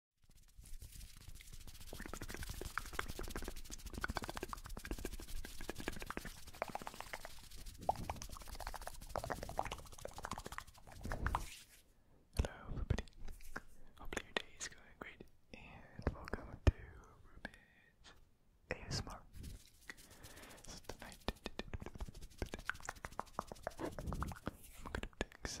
Hello everybody, hopefully your day is going great and welcome to Rubid's ASMR. I'm gonna take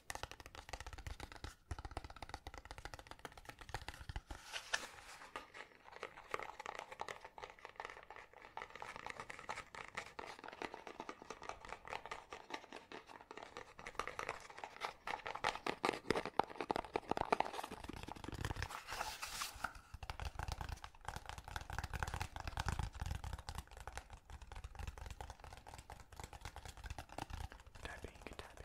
Tap it, you can tap it.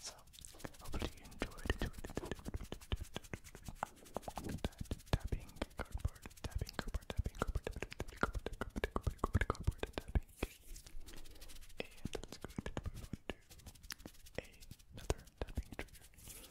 So, hopefully you enjoyed Tapping cardboard, tapping cardboard, tapping cardboard, tapping cardboard, tapping cardboard, tapping. And another tapping trigger.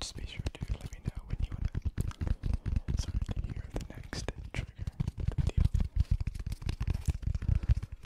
Just be sure to let me know when you want to sort the next trigger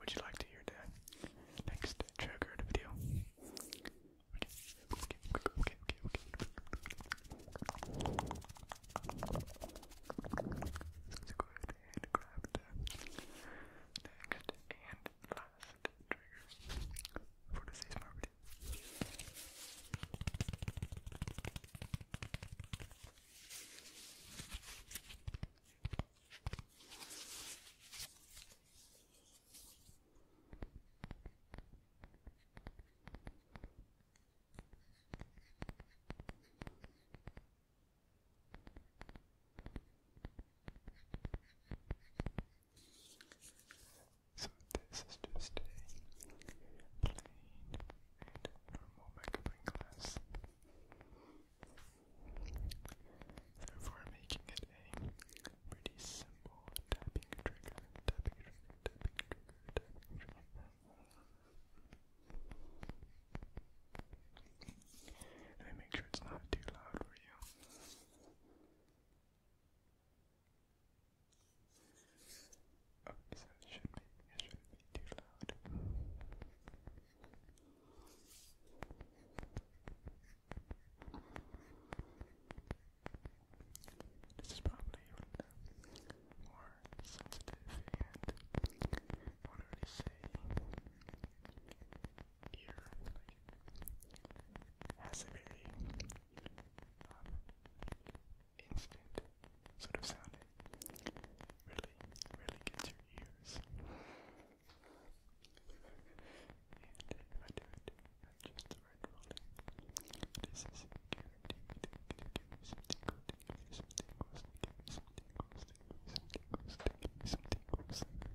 Would you like to hear the next trigger video? Okay, okay, okay, okay, okay. Let's go and grab the next and last trigger for the season property. So this is just a plain normal magnifying glass therefore making it a pretty simple tapping trigger, Let me make sure it's not too loud for you. Okay, oh, so it shouldn't be, it shouldn't be too loud. This is probably more sensitive and what do they say? Ear has a very um, instant sort of sound. really, really gets your ears. And if I do it, I choose the right rolling. This is guaranteed to give me some tingles, to give me some tingles, to give me some tingles, to give me some tingles, to give me some tingles. Good.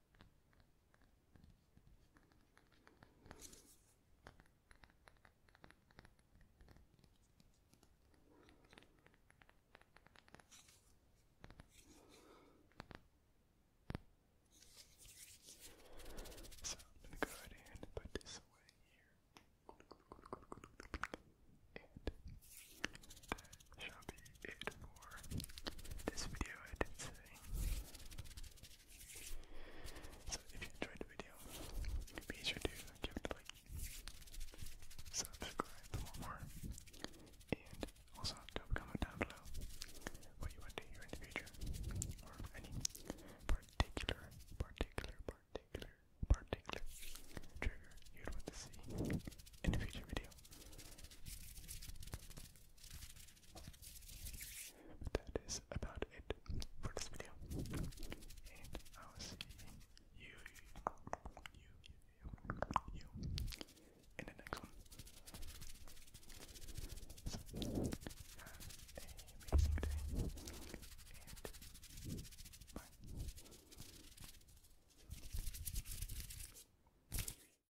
So I'm gonna go ahead and put this away here. And that shall it for this video editing. So if you enjoyed the video, be sure to give it a like, subscribe for more, and also do comment down below what you want to hear in the future, or any particular, particular, particular, particular trigger you'd want to see in a future video that is about it for this video. And I will see you, in the next one. have an amazing day. And bye.